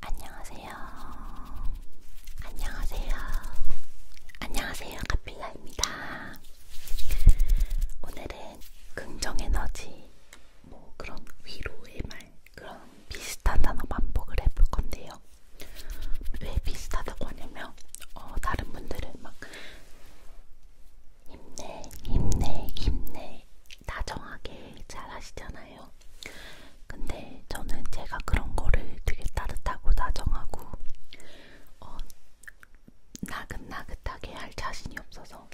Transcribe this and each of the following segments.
안녕하세요. 안녕하세요. 안녕하세요. 카필라입니다. 오늘은 긍정 에너지, 뭐 그런 위로의 말, 그런 비슷한 단어 반복을 해볼 건데요. 왜 비슷하다고 하냐면, 어, 다른 분들은 막 힘내, 힘내, 힘내, 다정하게 잘 하시잖아요. 근데 저는 제가 그런 거를 되게 따뜻하고 다정하고 어, 나긋나긋하게 할 자신이 없어서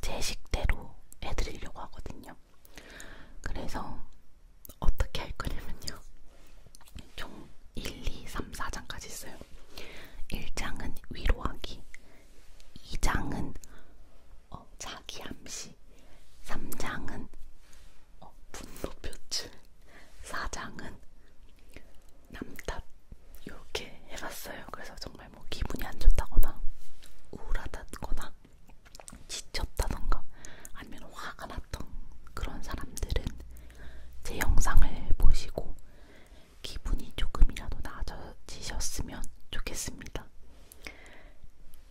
제 식대로 해드리려고 하거든요. 그래서 어떻게 할 거냐면요. 총 1, 2, 3, 4장까지 있어요. 1장은 위로하기, 2장은 어, 어, 자기 암시 3장은 어, 분노 표출 4장은 남탓 이렇게 해봤어요. 그래서 정말 뭐 기분이 안 좋다거나 우울하다거나 지쳤다던가 아니면 화가 났던 그런 사람들은 제 영상을 보시고 기분이 조금이라도 나아지셨으면 좋겠습니다.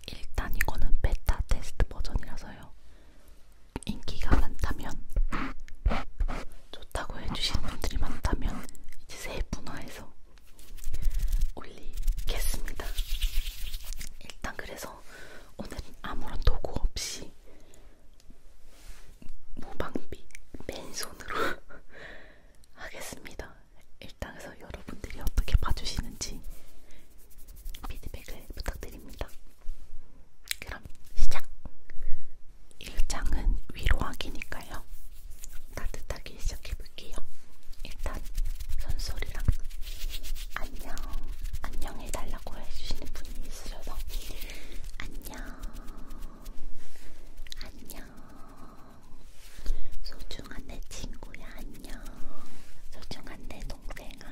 일단 이거는 베타 테스트 버전이라서요. 인기가 많다면 좋다고 해주시는 분들이 많다면 이제 세분화해서 올리겠습니다. 일단 그래서 오늘은 아무런 도구 없이 무방비 맨손으로 하겠습니다. 일당에서 여러분들이 어떻게 봐주시는지 피드백을 부탁드립니다. 그럼 시작! 일장은 위로하기니까요. 따뜻하게 시작해볼게요. 일단 손소리랑 안녕, 안녕해달라고 해주시는 분이 있으셔서 안녕, 안녕. 소중한 내 친구야, 안녕. 소중한 내 동생아.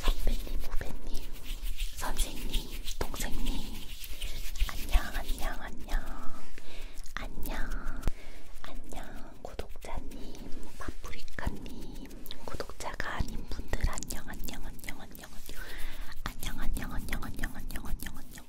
선배님, 후배님, 선생님, 동생님. 안녕, 안녕, 안녕. 안녕. 안녕, 구독자님, 파프리카님, 구독자가 아닌 분들 안녕, 안녕, 안녕, 안녕, 안녕. 안녕, 안녕, 안녕, 안녕, 안녕, 안녕, 안녕.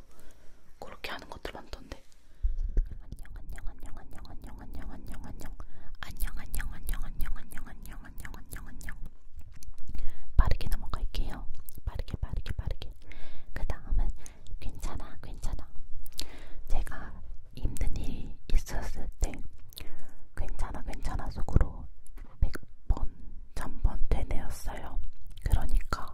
그렇게 하는 것들 많던데. 안녕 안녕 안녕 안녕 안녕 안녕 안녕 안녕 안녕 안녕 안녕 안녕 안녕 안녕 안녕 안녕 안녕 빠르게 넘어갈게요. 빠르게 빠르게 빠르게. 그 다음은 괜찮아 괜찮아. 제가 힘든 일이 있었을 때 괜찮아 괜찮아 속으로 100번 1000번 되뇌었어요. 그러니까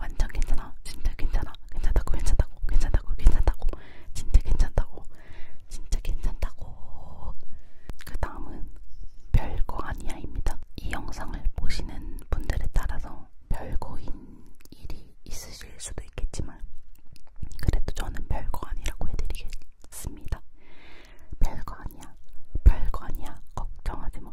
완전 괜찮아 진짜 괜찮아 괜찮다고 괜찮다고 괜찮다고 괜찮다고 진짜 괜찮다고 진짜 괜찮다고 그 다음은 별거 아니야입니다 이 영상을 보시는 분들에 따라서 별거인 일이 있으실 수도 있겠지만 그래도 저는 별거 아니라고 해드리겠습니다 별거 아니야 별거 아니야 걱정하지마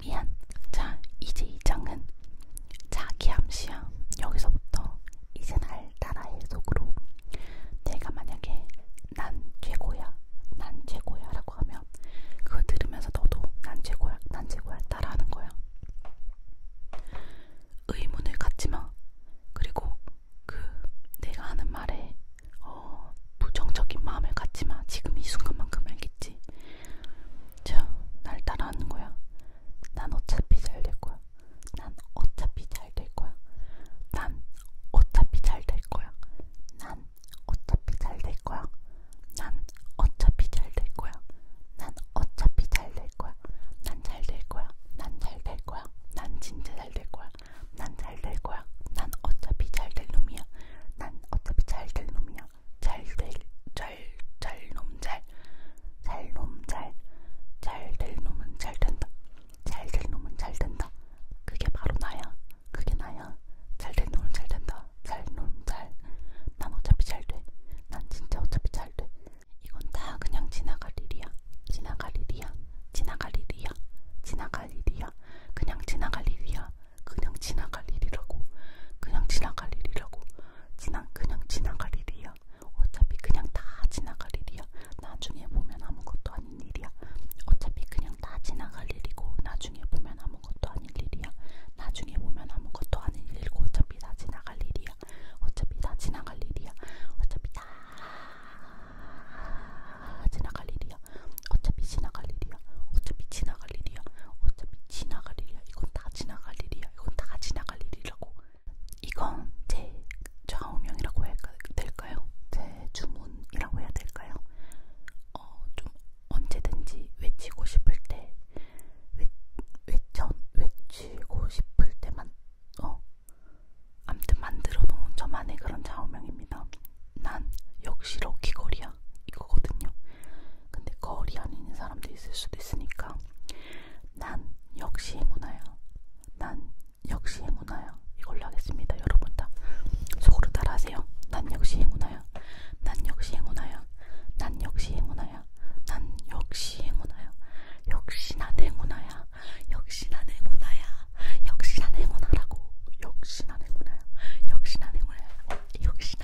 미안. 자, 이제 이 장은 자기 암시야. 여기서부터 이제 날 따라해 속으로 내가 만약에 난 최고야, 난 최고야 라고 하면 그거 들으면서 너도 난 최고야, 난 최고야 따라하는 거야. 의문을 갖지 마. 그리고 그 내가 하는 말에 어, 부정적인 마음을 갖지 마. 지금 이 순간만큼 알겠지? 자, 날 따라하는 거야. 난 어차피 잘 될 거야. 난 어차피 잘 될 거야. 난 어차피 잘 될 거야. 난 어차피 잘 될 거야. 난 어차피 잘 될 거야. 난 어차피 잘 될 거야. 난 잘 될 거야. 난 잘 될 거야. 난 진짜 잘 될 거야. 난 잘 될 거야. 난 어차피 잘 될 놈이야. 난 어차피 잘 될 놈이야. 잘잘잘놈잘잘놈잘잘될 놈은 잘 된다. 잘될 놈은 잘 된다. 그게 바로 나야. 그게 나야. 잘될 놈은 잘 된다. 잘 놈 잘. 난 어차피 잘 돼. 난 진짜 어차피 잘 돼. 이건 다 그냥 지나갈 일이야. 지나갈 일이야. 지나갈 일이야. 지나갈 일이야. 그냥 지나갈 일이야. 그냥 지나갈 일이라고. 그냥 지나갈 일이라고. 지난 그냥 지나갈 일이야. 어차피 그냥 다 지나갈 일이야. 나중에 보면 아무것도 아닌 일이야. 어차피 그냥 다 지나갈 일이고 나중에 보면 아무것도 아닌 일이야. 나중에 보면 아무것도 아닌 일이고 어차피 다 지나갈 일이야. 어차피 다 지나갈 일이야. 어차피 다 지나갈 일이야. 어차피 지나갈 일이야. 어차피 지나갈 일이야. 어차피 지나갈 일이야. 지나갈 일이야. 어차피 지나갈 일이야. 이건 다 지나갈 일이야. 이건 다 지나갈 일이라고. 이건 제 좌우명이라고 해야 될까요? 제 주문이라고 해야 될까요? 어, 좀 언제든지 외치고 싶을 때 외, 외쳐, 외치고 싶을 때만 어 암튼 만들어 놓은 저만의 그런 좌우명입니다. 난 역시 럭키걸이야. 거야 이거거든요. 근데 거리 안에 있는 사람도 있을 수도 있으니까 난 역시 행운아야. 난 역시 행운아야. 이걸로 하겠습니다. 여러분 다 속으로 따라하세요. 난 역시 행운아야. 난 역시 행운아야. 난 역시 행운아야. 난 역시 행운아야. 역시 난 행운아야. 역시 난 행운아야. 역시 난 행운아라고. 역시 난 행운아야. 역시 난 행운아야. 역시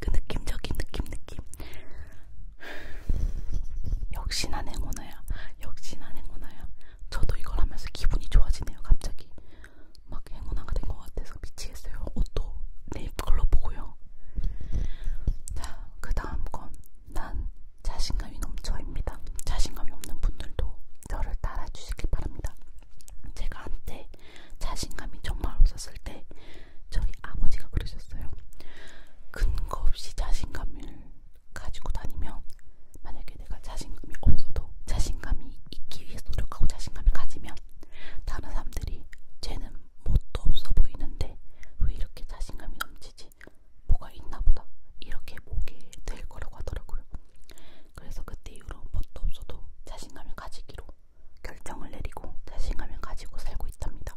그 느낌적인 느낌 느낌 역시 난 행운아야 역시 난 행운아야 저도 이걸 하면서 기분이 좋아지네요 갑자기 막 행운아가 된 것 같아서 미치겠어요 옷도 네잎글로 보고요 자그 다음 건 난 자신감이 넘쳐입니다 자신감이 없는 분들도 저를 따라주시길 바랍니다 제가 한때 자신감이 정말 없었을 때 저희 아버지가 그러셨어요. 근거 없이 자신감을 가지고 다니면 만약에 내가 자신감이 없어도 자신감이 있기 위해서 노력하고 자신감을 가지면 다른 사람들이 쟤는 뭣도 없어 보이는데 왜 이렇게 자신감이 넘치지? 뭐가 있나 보다. 이렇게 보게 될 거라고 하더라고요. 그래서 그때 이후로 뭣도 없어도 자신감을 가지기로 결정을 내리고 자신감을 가지고 살고 있답니다.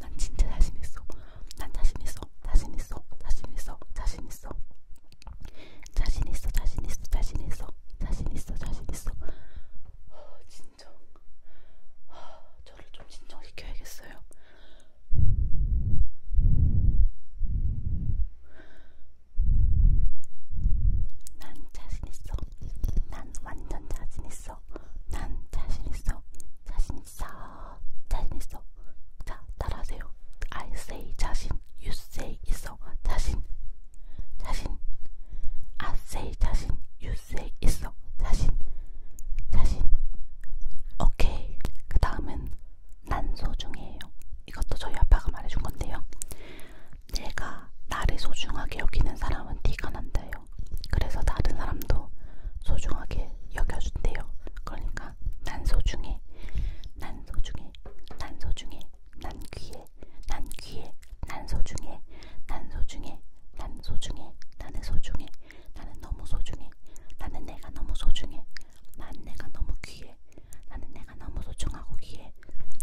난 진짜 자신 있어. 난 자신 있어. 자신 있어. 자신 있어. 자신 있어. 자신 있어. 자신 있어. 자신 있어. 자신 있어. 자신 있어. 아, 진정. 아, 저를 좀 진정시켜야겠어요. 난 자신 있어. 난 완전 자신 있어. 있어. 난 자신 있어. 자신 있어. 자신 있어. 자, 따라하세요. I say 자신. You say 있어. 자신. 자신. I say 자신. You say 있어. 자신. 자신. 오케이. 그 다음은 난 소중해요. 이것도 저희 아빠가 말해준 건데요. 내가 나를 소중하게 여기는 사람은 티가 난다요. 같아요. 그래서 다른 사람도 소중하게 여겨준대요. 그러니까 난 소중해, 난 소중해, 난 소중해, 난 귀해, 난 귀해, 난 소중해, 난 소중해, 난 소중해, 나는 소중해, 나는 너무 소중해, 나는 내가 너무 소중해, 난 내가 너무 귀해, 나는 내가 너무 소중하고 귀해,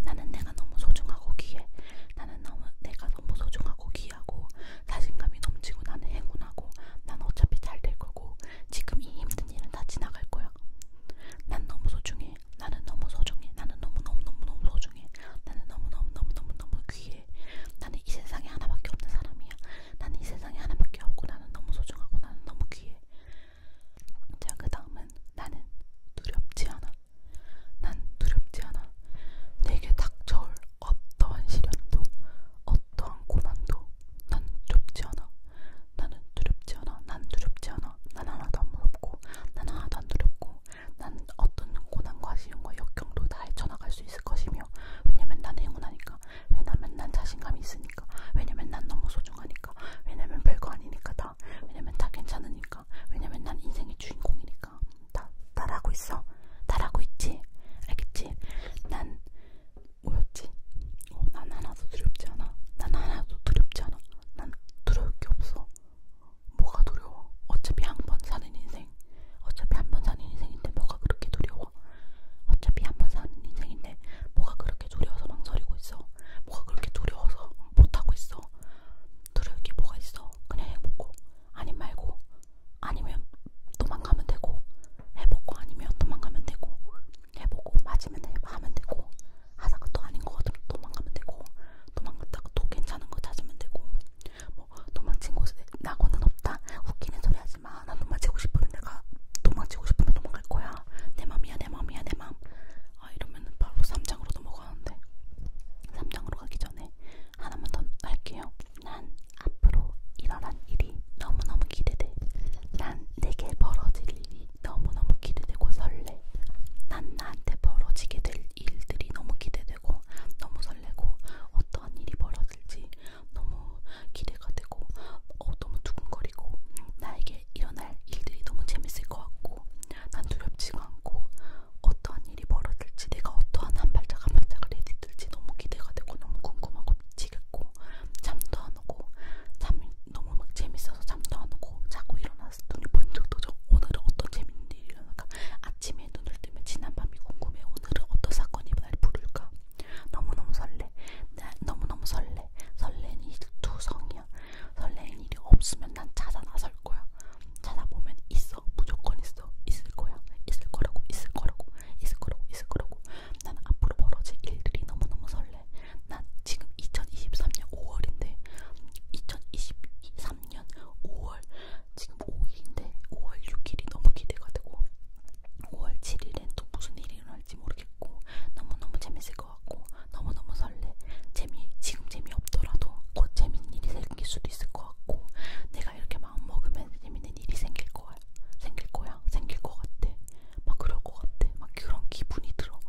나는 내가 너무 소중하고 귀해, 나는 너무, 내가 너무 소중하고 귀해. 비하고 자신감이 넘치고 나는 행운하고 난 어차피 잘될 거고 지금 이 힘든 일은 다 지나갈 거야. 난 너무 소중해. 나는 너무 소중해. 나는 너무 너무 너무 너무 소중해. 나는 너무 너무 너무 너무 너무 귀해. 나는 이 세상에 하나밖에 없는 사람이야. 나는 이 세상에 하나밖에 없고 나는 너무 소중하고 나는 너무 귀해. 자, 그 다음은 나는 두렵지 않아. 난 두렵지 않아. 내게 닥쳐올 어떠한 시련도 어떠한 고난도 난 두렵지 않아 나는 두렵지 않아 난 두렵지 않아 난 하나도 안 무섭고 난 하나도 안 두렵고 난 어떤 고난과 시련과 역경도 다 헤쳐나갈 수 있을 것이며 왜냐면 난 행운하니까 왜냐면 난 자신감이 있으니까 왜냐면 난 너무 소중하니까 왜냐면 별거 아니니까 다 왜냐면 다 괜찮으니까 왜냐면 난 인생의 주인공이니까 거니까 그러니까. 나 나라고 있어. 나라고 있지. 알겠지? 난 뭐였지? 어, 난 하나도 두렵지 않아. 난 하나도 두렵지 않아. 난 두려울 게 없어. 뭐가 두려워? 어차피 한 번 사는 인생. 어차피 한 번 사는 인생인데 뭐가 그렇게 두려워? 어차피 한 번 사는 인생인데 뭐가 그렇게 두려워서 망설이고 있어? 뭐가 그렇게 두려워서 못하고 있어? 두려울 게 뭐가 있어? 그냥 해보고 아님 말고 아니면 도망가면 되고 해보고 아니면 도망가면 되고 해보고 맞으면 하면 되고 하다가 또 아닌 거 같으면 도망가면 되고 도망갔다가 또 괜찮은 거 찾으면 되고 뭐 도망친 곳에 낙원은 없다 웃기는 소리 하지마 난 도망치고 싶으면 내가 도망치고 싶으면 도망갈 거야 내 맘이야 내 맘이야 내맘아 이러면 바로 3장으로 넘어가는데 3장으로 가기 전에 하나만 더 할게요. 난 앞으로 일어난 일이 너무너무 기대돼. 난 내게 벌어질 일이 너무너무 기대되고 설레. 난 나한테 벌어지게 될 일들이 너무 기대되고 너무 설레고 어떠한 일이 벌어질지 너무 기대가 되고 어, 너무 두근거리고 나에게 일어날 일들이 너무 재밌을 것 같고 난 두렵지가 않고 어떠한 일이 벌어질지 내가 어떠한 한 발짝 한 발짝을 내딛을지 너무 기대가 되고 너무 궁금하고 미치겠고 잠도 안 오고 잠이 너무 막 재밌어서 잠도 안 오고 자고 일어나서 눈이 번쩍도 져 오늘은 어떤 재밌는 일이 일어날까 아침에 눈을 뜨면 지난밤이 궁금해 오늘은 어떤 사건이 날 부를까 너무너무 설레 나, 너무너무 설레 설레는 일투성이야 설레는 일이 없으면 난 찾아 나설 거야 찾아보면 있어 무조건 있어 있을 거야 있을 거라고 있을 거라고 있을 거라고 있을 거라고 나는 앞으로 벌어질 일들이 너무너무 설레 난 지금 2023년 5월인데 2023년 5월 지금 5일인데 5월 6일이 너무 기대가 되고 5월 7일엔 또 무슨 일이 일어날지 모르겠고 너무너무 재밌을 것 같고 너무너무 설레 재미 지금 재미없더라도 곧 재밌는 일이 생길 수도 있을 것 같고 내가 이렇게 마음먹으면 재밌는 일이 생길 거야. 생길 거야. 생길 것 같아. 막 그럴 것 같아. 막 그런 기분이 들어.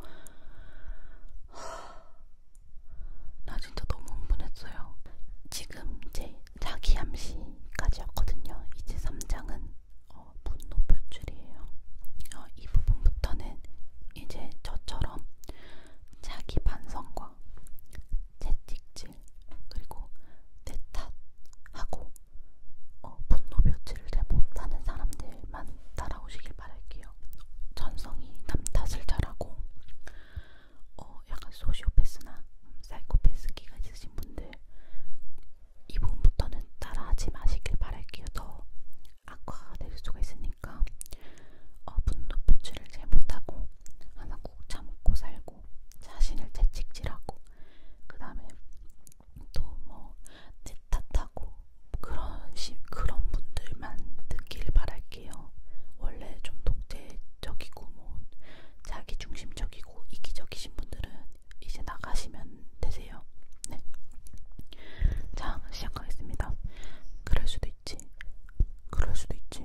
나 진짜 너무 흥분했어요. 지금 제 자기 암시까지 왔거든요. 이제 3장은 어, 분노 표출이에요. 어, 이 부분부터는 이제 저처럼 자기 반성과 채찍질 며칠 그리고 내 탓하고 어, 분노 표출을 잘 못하는 사람들만 따라오시길 바랄게요. 전성이 남 탓을 잘하고 어, 약간 소시오패스나 사이코패스 기가 있으신 분들 이 부분부터는 따라하지 마시길 바랄게요. 더 악화가 될 수가 있으니까 어, 분노 표출을 잘 못하고 하나 꾹 참고 살고 하고 자신을 채찍질하고 그 다음에 또뭐내 탓하고 그런 시, 그런 분들만 듣길 바랄게요. 원래 좀 독재적이고 뭐 자기 중심적이고 이기적이신 분들은 이제 나가시면 되세요. 네. 자 시작하겠습니다. 그럴 수도 있지. 그럴 수도 있지.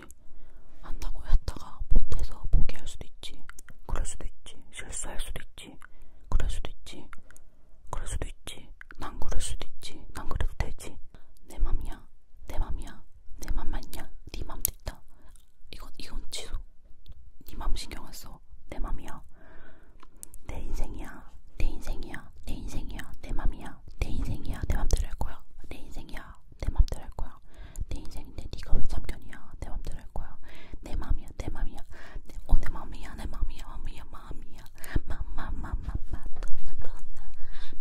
있지. 한다고 했다가 못해서 포기할 수도 있지. 그럴 수도 있지. 실수할 수도 있지. 그럴 수도 있지. 그럴 수도 있지. 난 그럴 수도 있지. 난 그래도 되지. 내 맘이야. 내 맘이야. 내맘 맞냐? 네 맘도 있다. 이건 이건 취소. 네맘 신경 안 써. 내 맘이야. 내 인생이야. 내 인생이야. 내 인생이야. 내 맘이야. 내 인생이야. 내 맘대로 할 거야. 내 인생이야. 내 맘대로 할 거야. 내 인생인데 네가 왜 참견이야? 내 맘대로 할 거야. 내 맘이야, 내 맘이야. 내, 어, 내 맘이야, 내 맘이야, 맘이야, 맘이야. 마마마마마 마돈나 돈나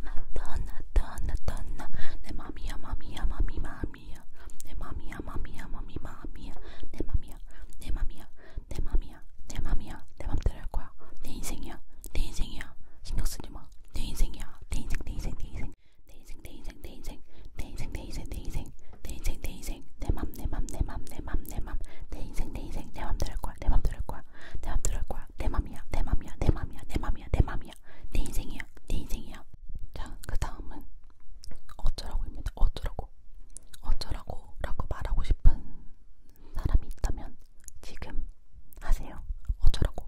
마돈나 돈나 돈나 내 맘이야, 맘이야, 맘이 맘이야. 내 맘이야, 맘이야, 맘이 맘이야. 내 맘이야, 내 맘이야, 내 맘이야, 내 맘이야. 내 맘대로 할 거야. 내 인생이야, 내 인생이야. 신경 쓰지 마. 내 인생이야, 내 인생, 내 인생, 내 인생. 인생 내 인생 내 인생 내 인생 내 인생 내 인생 내 인생 내 인생 내 인생 내맘내맘내맘내맘내맘내 인생 내 인생 내맘 들을 거야 내 맘 들을 거야 내 맘 들을 거야 내 맘이야 내 맘이야 내 맘이야 내 맘이야 내 맘이야 내 인생이야 내 인생이야 자그 다음은 어쩌라고입니다 어쩌라고 어쩌라고 라고 말하고 싶은 사람이 있다면 지금 하세요 어쩌라고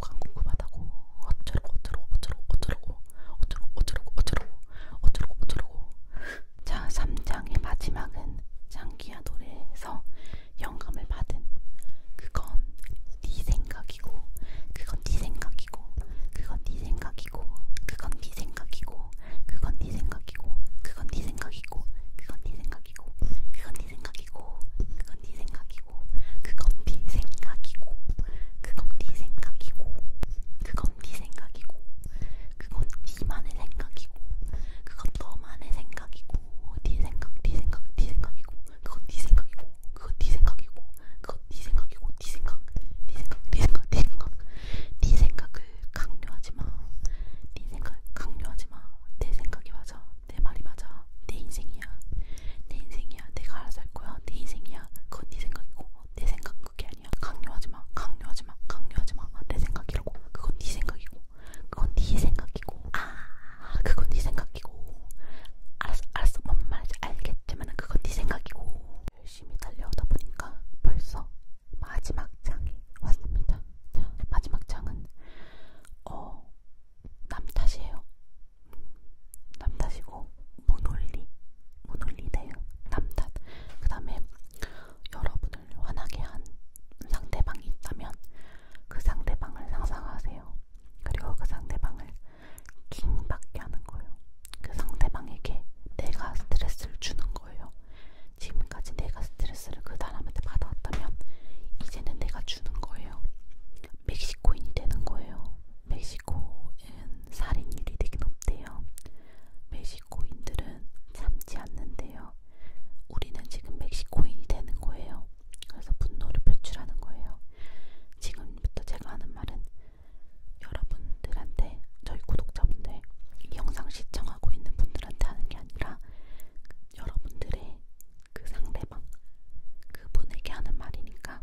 궁금하다고 간 궁금하다고 어쩌라고 어쩌라고 어쩌라고 어쩌라고 어쩌라고 어쩌라고 어쩌라고 어쩌라고 어쩌라고 자 3장의 마지막은 장기야 노래에서 영감을 받은 그건 네 생각이고 그건 네 생각이고 그건 네 생각이고 그건 네 생각이고 그건 네 생각이고 그건 네 생각이고 그건 네 생각이고 그건 네 생각이고 그건 네 생각이고 생각이고 그건 네 생각이고 그건 네 생각이고 그건 네 생각이고 그건 네만의 생각이고 그건 너만의 생각이고 네 생각 네 생각 네 생각이고 그건 네 생각이고 그건 네 생각이고 그건 네 생각이고 네 생각 네 생각 네 생각 네 생각 네 생각을 강요하지 마. 네 생각 강요하지 마. 내 생각이 맞아. 내 말이 맞아. 내 인생이야. 내 인생이야. 내가 알아서 할 거야. 내 인생이야. 아니야. 그건 네 생각이고 내 생각은 그게 아니야. 강요하지 마. 강요하지 마. 강요하지 마. 아, 내 생각이라고. 그건 네 생각이고. 그건 네 생각이고. 아, 그건 네 생각이고. 알았어, 알았어. 뭔 말인지 알겠지만 그건 네 생각이고. 열심히 달려오다 보니까 벌써 마지막 장이 왔습니다. 자, 마지막 장은 어, 남 탓이에요. 남탓이고 모놀리 모놀리네요. 남탓. 그 다음에 여러분을 화나게 한 상대방이 있다면 그 상대방을 상상하세요. 그리고 그 상대방을 킹받게 하는 거예요. 그 상대방에게 내가 스트레스를 주는 거예요. 지금까지 내가 스트레스를 그 사람한테 받아왔다면 이제는 내가 주는 거예요. 멕시코인이 되는 거예요. 멕시코는 살인율이 되게 높대요. 멕시코인들은 참지 않는데요. 우리는 지금 멕시코인이 되는 거예요. 그래서 분노를 표출하는 거예요. 지금부터 제가 하는 말은 여러분들한테 저희 구독자분들 이 영상 시청하고 있는 분들한테 하는 게 아니라 여러분들의 그 상대방 그분에게 하는 말이니까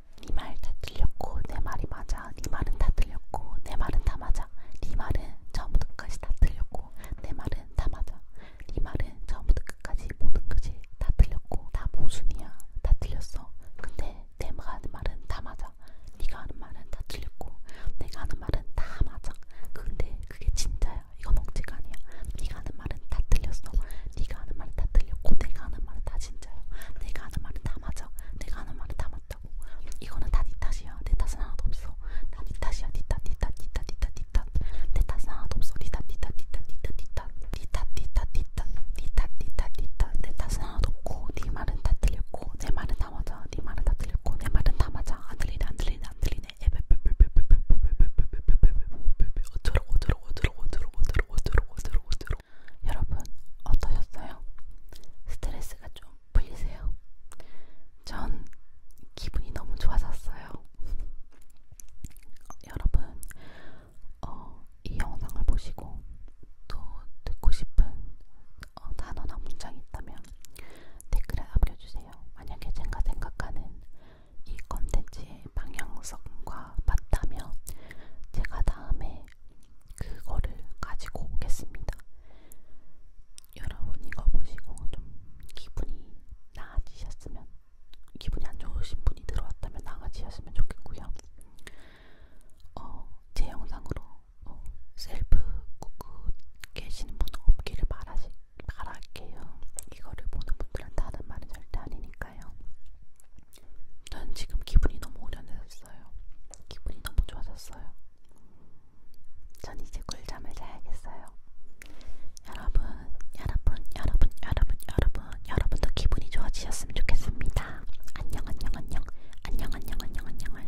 네말다 틀렸고 내 말이 맞아. 네 말은 다 틀렸고 내 말은 다 맞아. 네 말은 처음부터 끝까지 다 틀렸고 내 말은 다 맞아. 네 말은 처음부터 끝까지 모든 것이 다 틀렸고 다 모순이야. 다 틀렸어. 근데 내가 하는 말은 다 맞아. 네가 하는 말은 다 틀렸고 내가 하는 말은 다 맞아. 근데 그게 진짜야. 이건 억지가 아니야. 네가 하는 말은 다 틀렸어. 네가 하는 말은 다 틀렸고 내가 하는 말은 다 진짜. 진짜요. 내가 하는 말은 다 맞아. 내가 하는 말은 다 맞다고. 이거는 다네 탓이야. 내 탓은 하나도 없어. 다네 탓이야. 네 탓, 네 탓, 네 탓, 네 탓, 네 탓. 내 탓은 하나도 없어. 네 탓, 네 탓, 네 탓, 네 탓, 네 탓. 네 탓, 네 탓, 네 탓, 네 탓, 네 탓, 네 탓. 내 탓은 하나도 없고, 네 말은 다 틀렸고, 내 말은 다 맞아. 네 말은 다 틀렸고, 내 말은 다 맞아. 안 들리네, 안 들리네, 안 들리네. 어쩌라고, 어쩌라고, 어쩌라고, 어쩌라고, 어쩌라고, 어쩌라고, 어쩌라고, 여러분 어떠셨어요? 스트레스가 좀 풀리세요? 전 기분이 너무 좋아졌어요. 어, 여러분 어, 이 영상을 보시고 또 듣고 싶은 어, 단어나 문장이 있다면 댓글에 남겨주세요. 만약에 제가 생각하는 이 컨텐츠에 방향성과 맞다면 제가 다음에 그거를 가지고 오겠습니다. 여러분 이거 보시고 좀 기분이 나아지셨으면 기분이 안 좋으신 분이 들어왔다면 나아지셨으면 좋겠고요. 어, 제 영상으로 어, 셀프 구구 계시는 분 없기를 바라시, 바랄게요. 이거를 보는 분들은 다른 말은 절대 아니니까. 있으니까요. 난 지금 기분이 너무 오련해졌어요. 기분이 너무 좋아졌어요. 전 이제 꿀잠을 자야겠어요. 여러분, 여러분, 여러분, 여러분, 여러분, 여러분도 기분이 좋아지셨으면 좋겠습니다. 안녕, 안녕, 안녕, 안녕, 안녕, 안녕, 안녕, 안녕, 안녕.